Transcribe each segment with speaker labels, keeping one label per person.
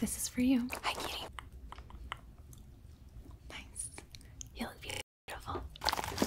Speaker 1: This is for you. Hi, Kitty. Nice. You look beautiful. Hi, Kitty.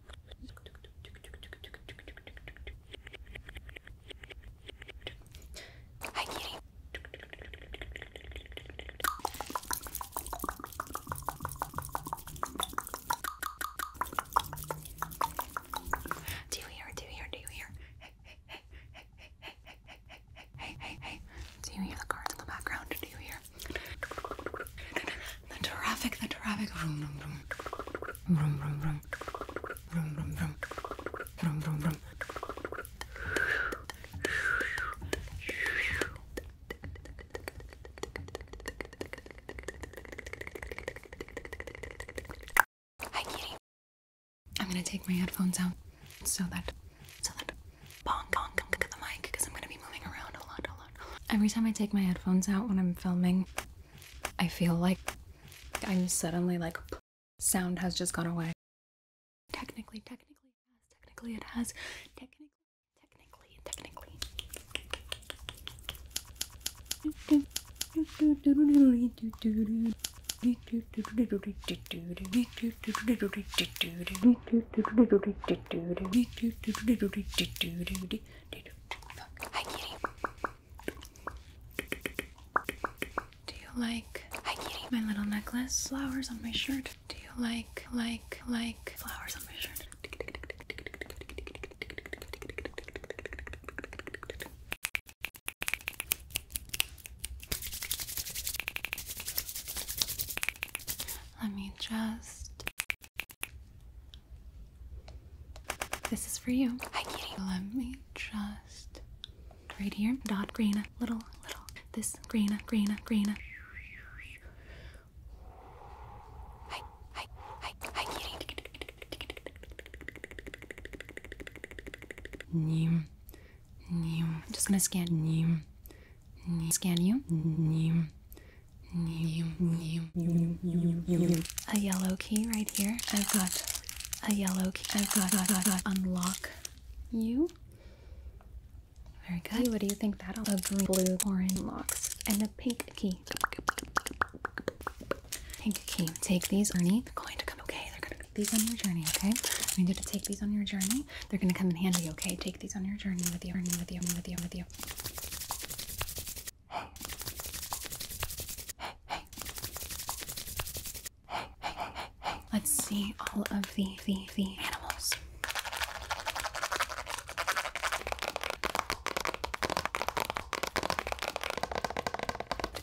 Speaker 1: I kitty. Do you hear? Do you hear? Do you hear? hey, hey, hey, hey, hey, hey, hey, hey, hey. Do you hear the cards in the background? Do you hear? The traffic, the traffic. Vroom, vroom, vroom. Vroom, vroom, vroom. Vroom, vroom, vroom. Vroom, vroom, vroom. Hi, kitty. I'm gonna take my headphones out so that so that bonk bonk the mic because I'm gonna be moving around a lot, a lot. Every time I take my headphones out when I'm filming, I feel like I'm suddenly like sound has just gone away. Technically, technically, technically it has. Technically, technically, technically. Dude, Hi, kitty. Do you like my little necklace? Flowers on my shirt. Do you like, like, like flowers on my shirt? Let me just this is for you. Hi, kitty. Let me just right here. Dot green, little, little. This green, green, green. Hi, hi, hi, hi, kitty. Neem, neem. I'm just gonna scan neem, Scan you, neem a yellow key right here. I've got a yellow key. I've got, got, got, got unlock you. Very good. Hey, what do you think that'll a green, blue, orange locks, and a pink key? Pink key. Take these, Ernie. They're going to come. Okay, they're gonna these on your journey. Okay, I need you to take these on your journey. They're gonna come in handy. Okay, take these on your journey with you. Ernie, with you, with you, with you. Let's see all of the the, the animals.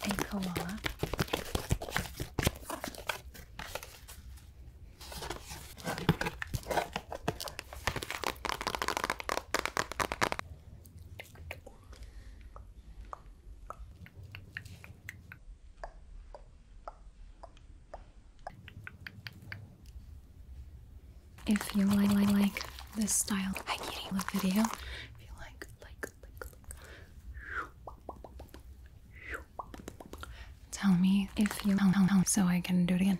Speaker 1: A koala. If you like, like, like this style of video, if you like, tell me if you help, help, so I can do it again.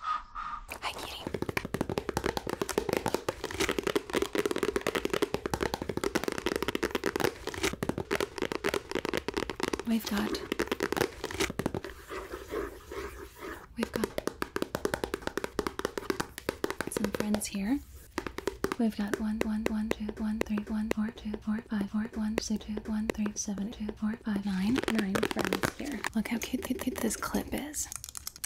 Speaker 1: Hi, kitty. We've got. We've got some friends here. We've got one, one, one, two, one, three, one, four, two, four, five, four, one, six, two, one, three, seven, two, four, five, nine, nine friends here. Look how cute, cute, cute this clip is.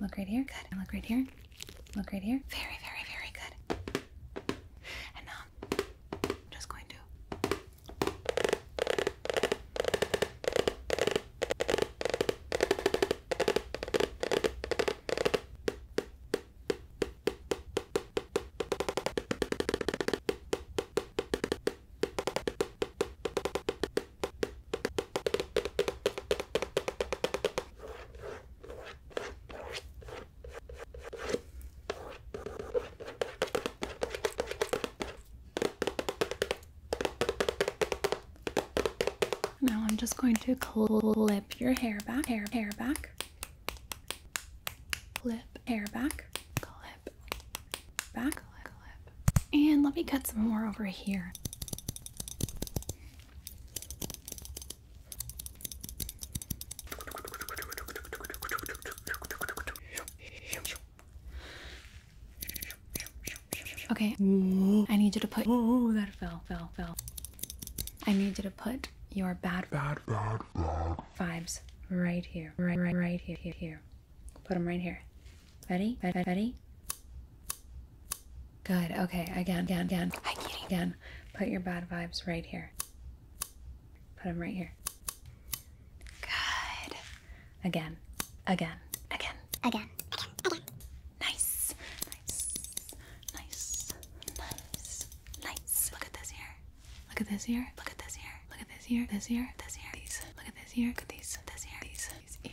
Speaker 1: Look right here. Good. look right here. Look right here. Very, very, very good. And now I'm um, just going to. Now I'm just going to clip your hair back, hair, hair back, clip, hair back, clip, back lip. And let me cut some more over here. Okay, I need you to put. Oh, that fell, fell, fell. I need you to put your bad, bad, bad, bad vibes right here, right, right, right here, here, here. Put them right here. Ready? Ready? Ready? Good. Okay. Again, again, again. Again. Put your bad vibes right here. Put them right here. Good. Again. Again. Again. Again. Again. Nice. Nice. Nice. Nice. Nice. Look at this here. Look at this here. Look at this here. Look at this here. This here. This here. These. Look at this here. Look at these. This here. These. These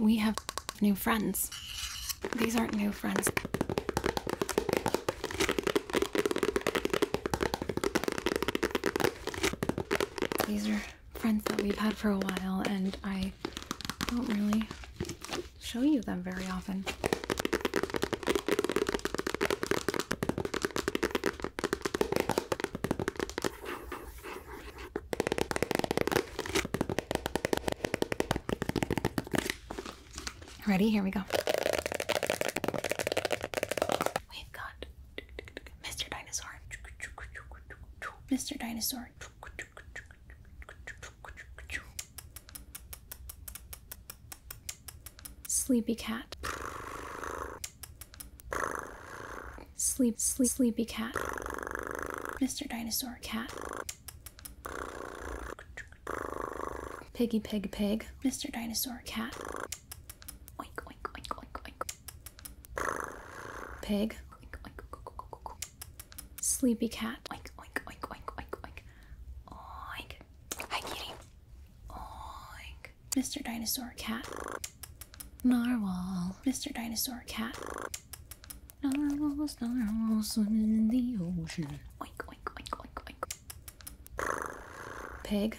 Speaker 1: We have new friends. These aren't new friends. These are friends that we've had for a while, and I don't really show you them very often. Ready? Here we go. We've got Mr. Dinosaur. Mr. Dinosaur. Sleepy cat. Sleep, sleep, sleepy cat. Mr. Dinosaur cat. Piggy pig pig. Mr. Dinosaur cat. Pig. Sleepy cat. Oink, oink, oink, oink, oink, oink. Oink. Hi, kitty. Oink. Mr. Dinosaur Cat. Narwhal. Mr. Dinosaur Cat. narwhal narwhals swimming in the ocean. Oink, oink, oink, oink, oink. Pig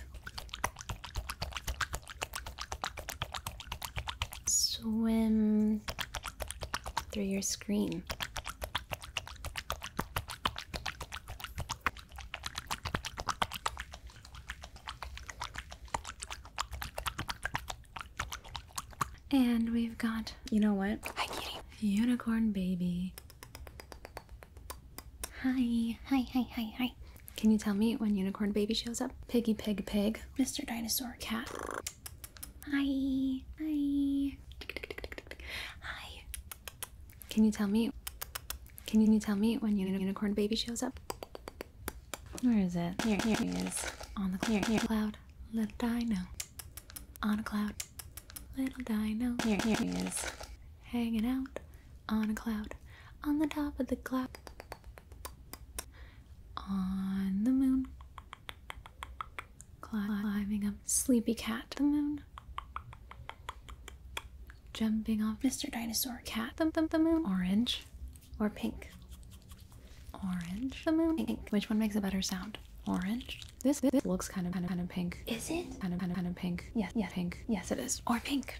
Speaker 1: swim through your screen. And we've got, you know what? Hi, kitty. Unicorn baby. Hi, hi, hi, hi, hi. Can you tell me when Unicorn Baby shows up? Piggy, pig, pig. Mr. Dinosaur Cat. Hi. Hi. Hi. Can you tell me? Can you tell me when Unicorn Baby shows up? Where is it? Here, here he is. On the cloud. Here, here. cloud. Little dino. On a cloud. Little dino. Here, here he is. Hanging out on a cloud, on the top of the cloud, on the moon, climbing up Sleepy Cat, the moon, jumping off Mr. Dinosaur, cat, the, the, the moon, orange, or pink, orange, the moon, pink. Which one makes a better sound? Orange. This, this looks kind of kind of kind of pink. Is it? Kind of kind of kind of pink. Yes, yeah, yes, yeah, pink. Yes, it is. Or pink.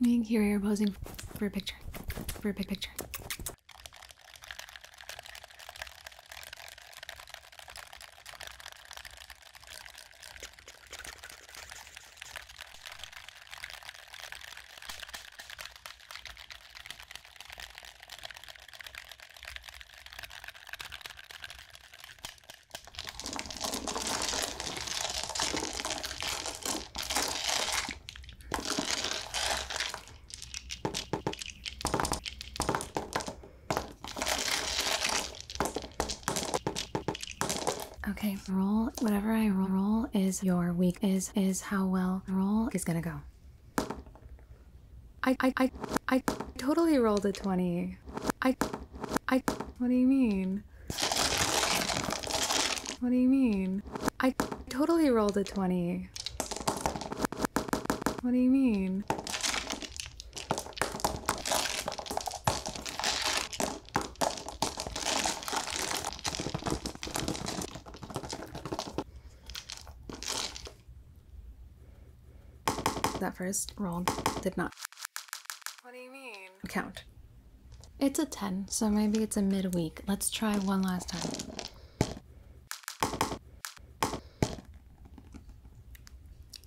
Speaker 1: Me and Kiri are posing for a picture. For a big picture. Okay, roll whatever I roll, is your week is is how well roll is gonna go. I I I I totally rolled a 20. I, I, what do you mean? What do you mean? I totally rolled a 20. What do you mean? That first roll did not. What do you mean? Count. It's a 10, so maybe it's a midweek. Let's try one last time.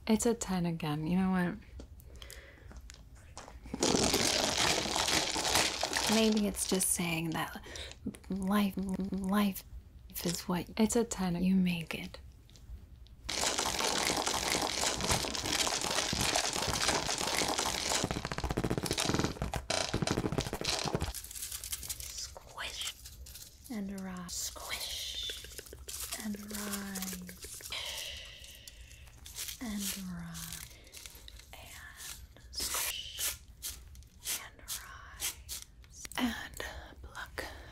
Speaker 1: It's a 10 again. You know what? Maybe it's just saying that life life is what it's a 10. You make it. Squish and arrive. Squish and arrive. And arrive. And squish and rise and pluck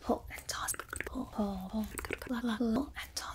Speaker 1: pull and toss, pull, pull, pull, pull and toss